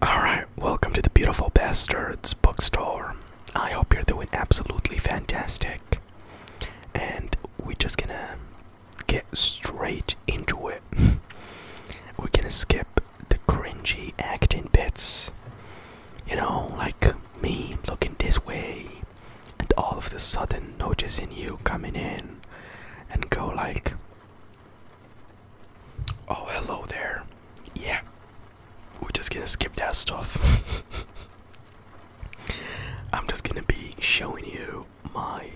Alright, welcome to the beautiful Bastards bookstore. I hope you're doing absolutely fantastic. And we're just gonna get straight into it. we're gonna skip the cringy acting bits. You know, like me looking this way and all of the sudden noticing you coming in and go like Oh, hello there. Yeah, we're just gonna skip that stuff. I'm just gonna be showing you my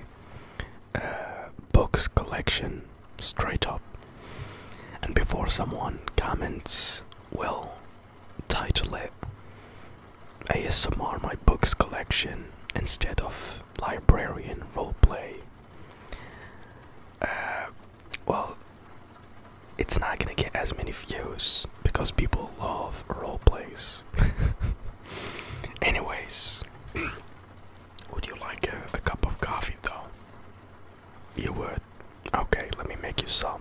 uh, books collection straight up. And before someone comments, we'll title it ASMR My Books Collection instead of Librarian Roleplay uh, well, it's not gonna get as many views because people love role plays. Anyways, would you like a, a cup of coffee though? You would? Okay, let me make you some.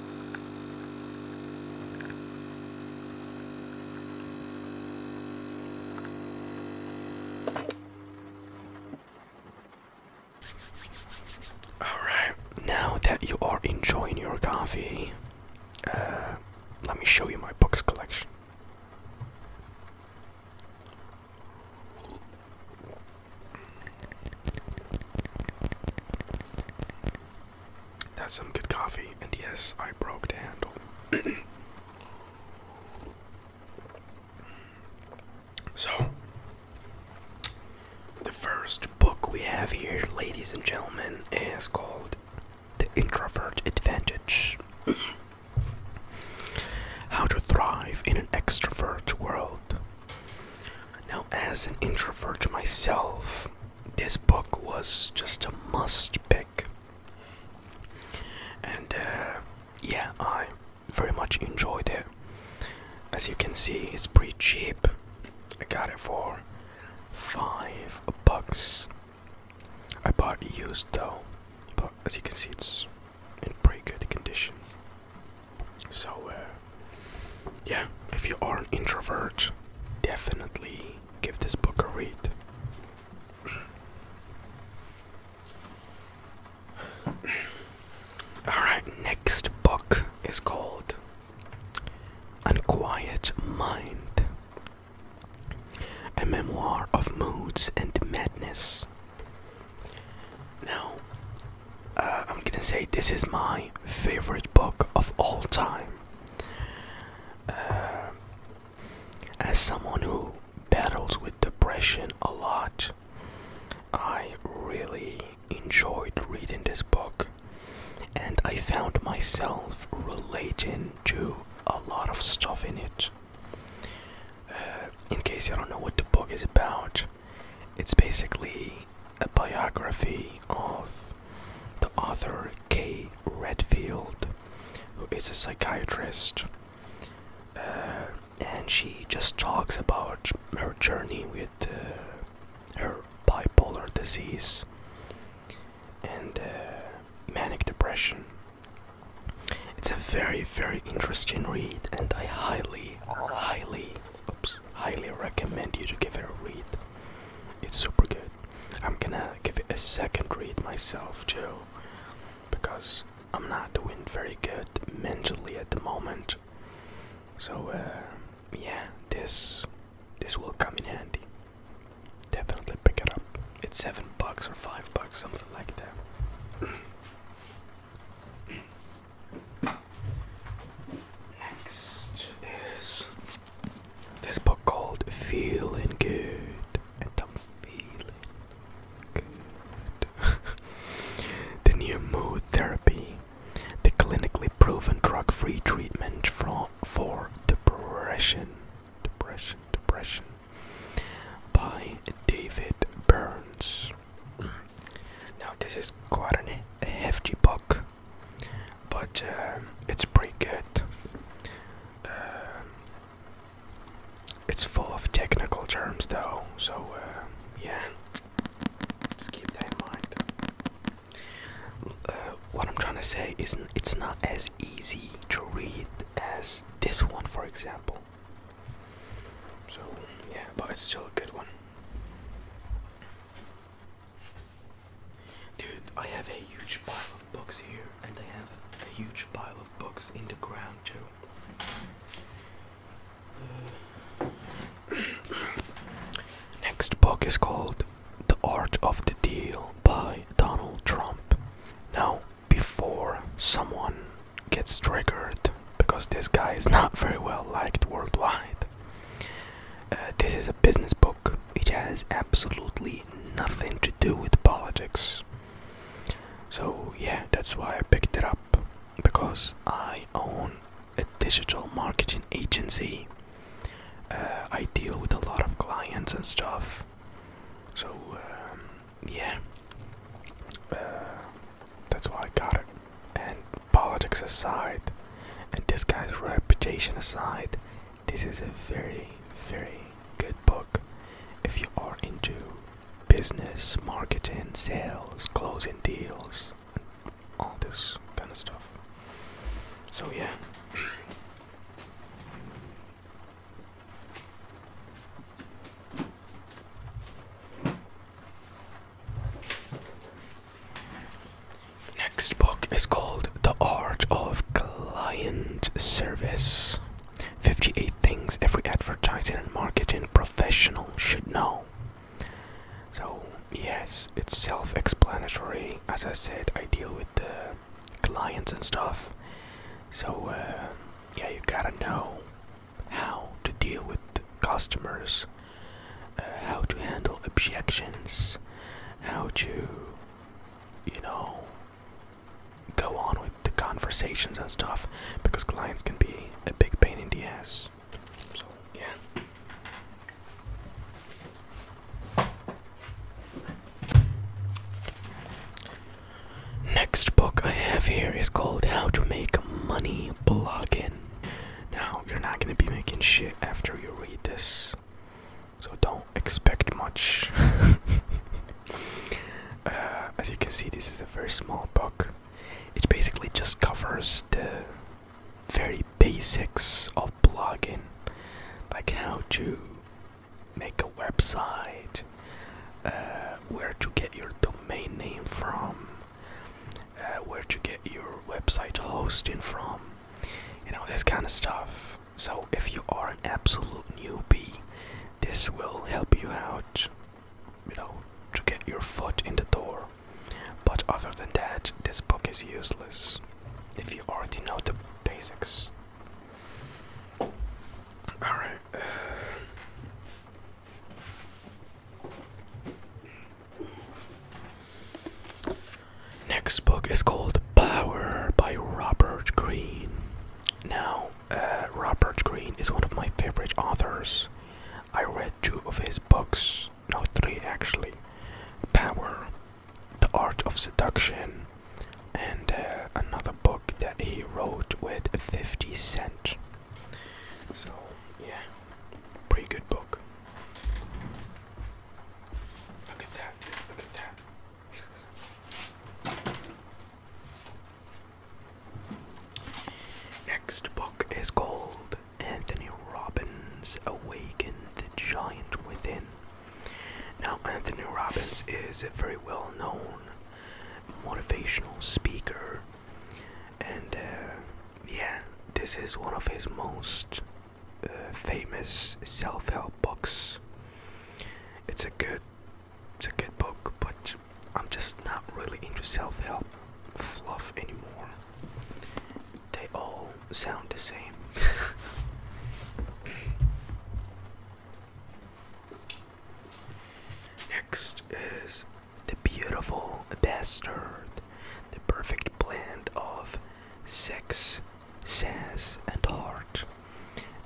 Alright, now that you are enjoying your coffee, uh, let me show you my books collection. That's some good coffee, and yes, I broke the handle. so, the first book we have here, ladies and gentlemen, is called The Introvert Advantage How to Thrive in an Extrovert World now, as an introvert myself, this book was just a must pick. And uh, yeah, I very much enjoyed it. As you can see, it's pretty cheap. I got it for five bucks. I bought it used though, but as you can see, it's in pretty good condition. So, uh, yeah, if you are an introvert, definitely give this book a read. Alright, next book is called Unquiet Mind A Memoir of Moods and Madness now, uh, I'm gonna say this is my favorite book of all time. Uh, as someone who battles with depression a lot, I really enjoyed reading this book, and I found myself relating to a lot of stuff in it. Uh, in case you don't know what the book is about, it's basically a biography of the author Kay Redfield, who is a psychiatrist, uh, and she just talks about her journey with uh, her bipolar disease and uh, manic depression. It's a very, very interesting read, and I highly, highly, oops, highly recommend you to give it a read. It's super good. I'm gonna give it a second read myself too, because I'm not doing very good mentally at the moment. So uh, yeah, this this will come in handy. Definitely pick it up. It's seven bucks or five bucks, something like that. Next is this book called Feeling Good, and I'm feeling good. the new mood therapy, the clinically proven drug free treatment for, for depression. Depression, depression. By David Burns now this is quite a hefty book, but uh, it's pretty good. Uh, it's full of technical terms though, so uh, yeah, just keep that in mind. what I'm trying to say is it's not as easy to read as this one, for example. So, yeah, but it's still a good one. Dude, I have a huge pile of books here, and I have a, huge pile of books in the ground too. Uh, next book is called The Art of the Deal by Donald Trump. Now, before someone gets triggered because this guy is not very well liked worldwide. Uh, this is a business book, it has absolutely nothing to do with politics. So, yeah, that's why I picked it up because I own a digital marketing agency. Uh, I deal with a lot of clients and stuff, so um, yeah, uh, that's why I got it. And politics aside, and this guy's reputation aside, this is a very, very good book if you are into business, marketing, sales, closing deals, and all this kind of stuff. So, yeah. Next book is called The Art of Client Service 58 Things Every Advertising and Marketing Professional Should Know. So, yes, it's self explanatory. As I said, I deal with the clients and stuff. So, uh, yeah, you gotta know how to deal with customers, uh, how to handle objections, how to, you know, go on with the conversations and stuff because clients can be a big pain in the ass. So, yeah. Next book I have here is called How to Make Money Blogging. Now, you're not going to be making shit after you read this, so don't expect much. Uh, as you can see, this is a very small book. It basically just covers the very basics of blogging, like how to make a website, uh, where to get your domain name from, uh, where to get your website hosting from, you know, this kind of stuff. So, if you are an absolute newbie, this will help you out, you know, to get your foot in the door. But other than that, this book is useless if you already know the basics. All right. next book is called Power by Robert Greene. Now, uh, Robert Greene is one of my favorite authors. I read two of his books, no, three actually Power, The Art of Seduction, and uh, another book that he wrote with 50 Cent. So, yeah, pretty good book. Look at that, look at that. Next book is called Anthony Robbins Awaken the Giant Within now, Anthony Robbins is a very well known motivational speaker, and uh, yeah, this is one of his most uh, famous self help books. It's a good it's a good book, but I'm just not really into self help fluff anymore. They all sound the same. Next is the beautiful bastard, the perfect blend of sex, sense, and heart.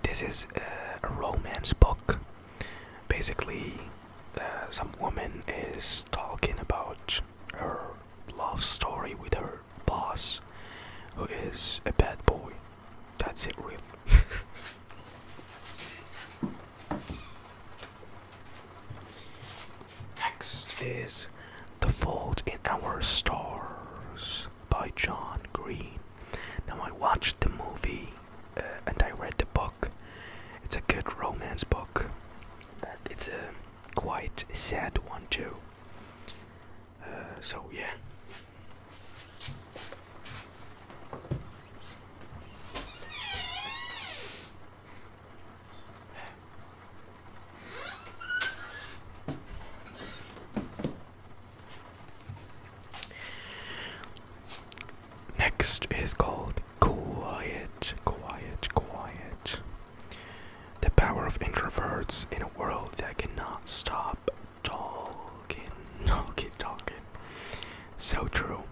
This is a romance book. Basically, uh, some woman is talking about her love story with her boss who is a bad boy. That's it, really. Next is The Fault in Our Stars by John Green. Now, I watched the movie uh, and I read the book. It's a good romance book, it's a quite sad one, too. Uh, so yeah. Next is called Quiet, Quiet, Quiet. The power of introverts in a world that cannot stop talking, no, talking. So true.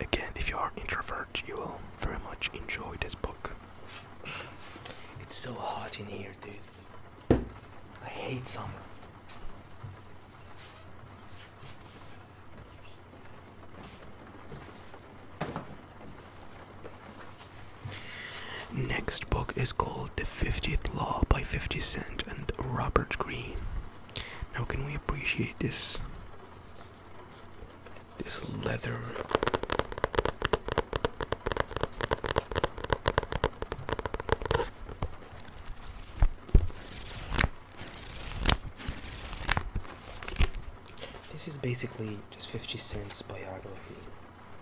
Again, if you are introvert, you will very much enjoy this book. It's so hot in here, dude. I hate summer. Next book is called The 50th Law by 50 Cent and Robert Greene. Now can we appreciate this this leather This is basically just 50 Cent's biography.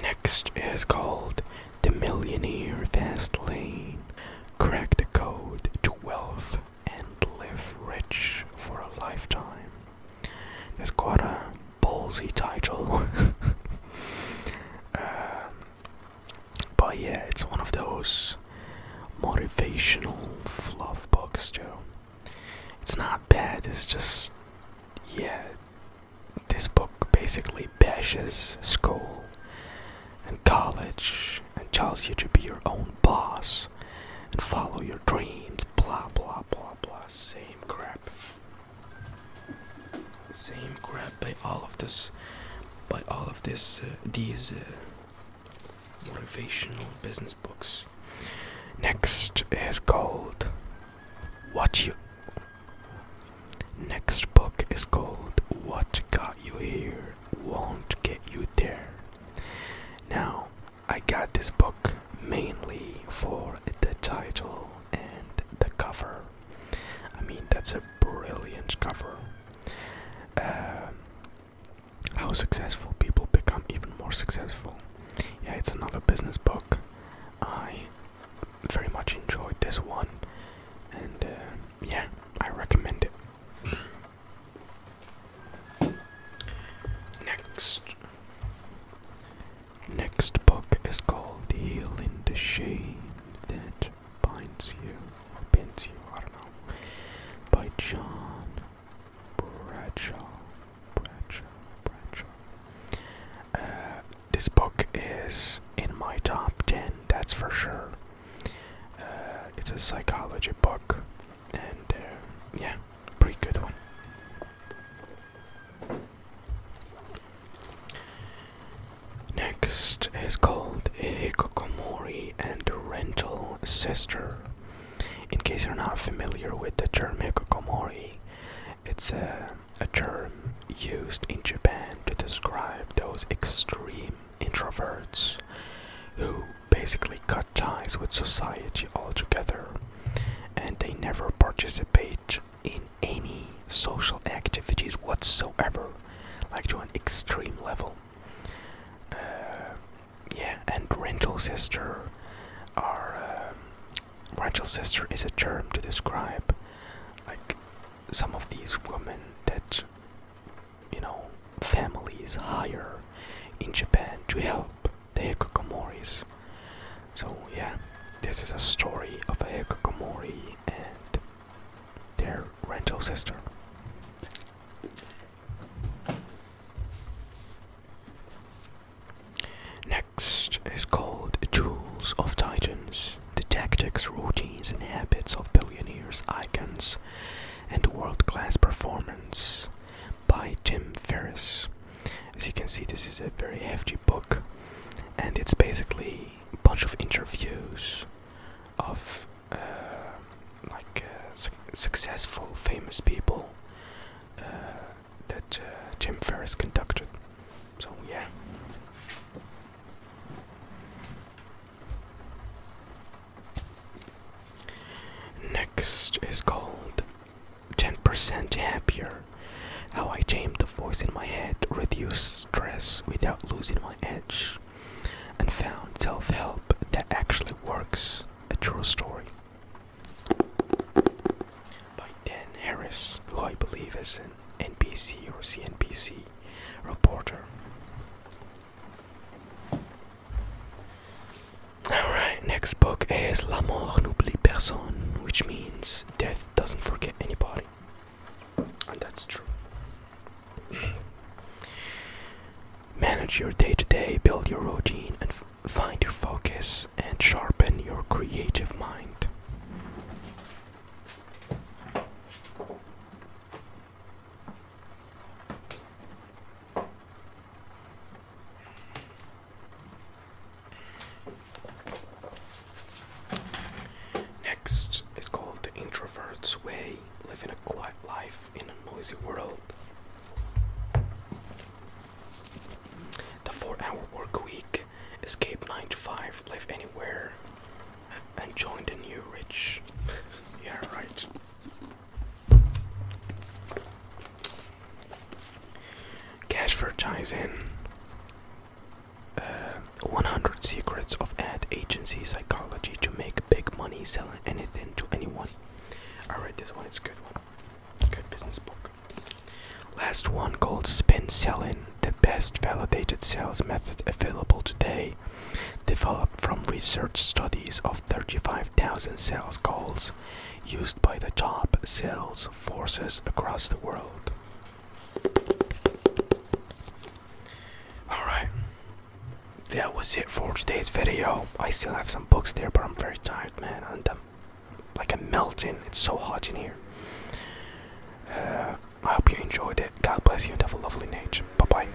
Next is called the Millionaire Fast Lane. Crack the code to wealth and live rich for a lifetime. That's quite a ballsy title. um, but yeah, it's one of those motivational fluff books, Joe. It's not bad, it's just, yeah, this book basically bashes school and college and tells you to be your own boss and follow your dreams, blah, blah, blah, blah. Same crap. Same crap by all of this, by all of this, uh, these. Uh, motivational business books. Next is called What You. Next book is called What Got You Here Won't Get You There. Now, I got this book mainly for the title and the cover. I mean, that's a brilliant cover. Uh, how successful people become even more successful. Yeah, it's another business book. I very much enjoyed this one, and uh, yeah, I recommend it. Next, next book is called "The Heel in the Shade." That binds you, or you, I don't know, by John Bradshaw. Bradshaw, Bradshaw. Uh, this book is in my top 10, that's for sure. Uh, it's a psychology book, and uh, yeah, pretty good one. Next is called Hikokomori and Rental Sister. In case you're not familiar with the term Hikokomori, it's a term used in Japan to describe those extreme introverts who basically cut ties with society altogether and they never participate in any social activities whatsoever, like to an extreme level. Uh, yeah, and rental sister um, are. rental sister is a term to describe like some of these women that you know families hire in Japan to help the hikokomoris. So yeah, this is a story of a hikikomori and their rental sister. Next is called The Tools of Titans, the tactics, routines, and habits of billionaires, icons, and world class performance by Jim Ferris. As you can see, this is a very hefty book, and it's basically a bunch of interviews of uh, like uh, successful, famous people uh, that Jim Ferris conducted. So yeah. Next is called 10% Happier How I Tamed the Voice in My Head, Reduce Stress Without Losing My Edge and found self-help that actually works. A true story by Dan Harris, who I believe is an NBC or CNBC reporter. Alright, next book is La mort n'oublie personne, which means death doesn't forget anybody. And that's true. Manage your day to day, build your routine, and find your focus and sharpen your creative mind. Next is called The Introvert's Way Living a Quiet Life in a Noisy World. The Four Hour Work Week Escape 9 to 5, Live Anywhere, and Join the New Rich. yeah, right. Cash for Tyson. Uh, 100 secrets of ad agency psychology to make big money selling anything to anyone. All right, this one, is good one. Good business book. Last one called Spin Selling, the best validated sales method available today, developed from research studies of 35,000 sales calls used by the top sales forces across the world. Alright, that was it for today's video. I still have some books there, but I'm very tired, man. And I'm like I'm melting, it's so hot in here. Uh, I hope you enjoyed it. God bless you and have a lovely night. Bye bye.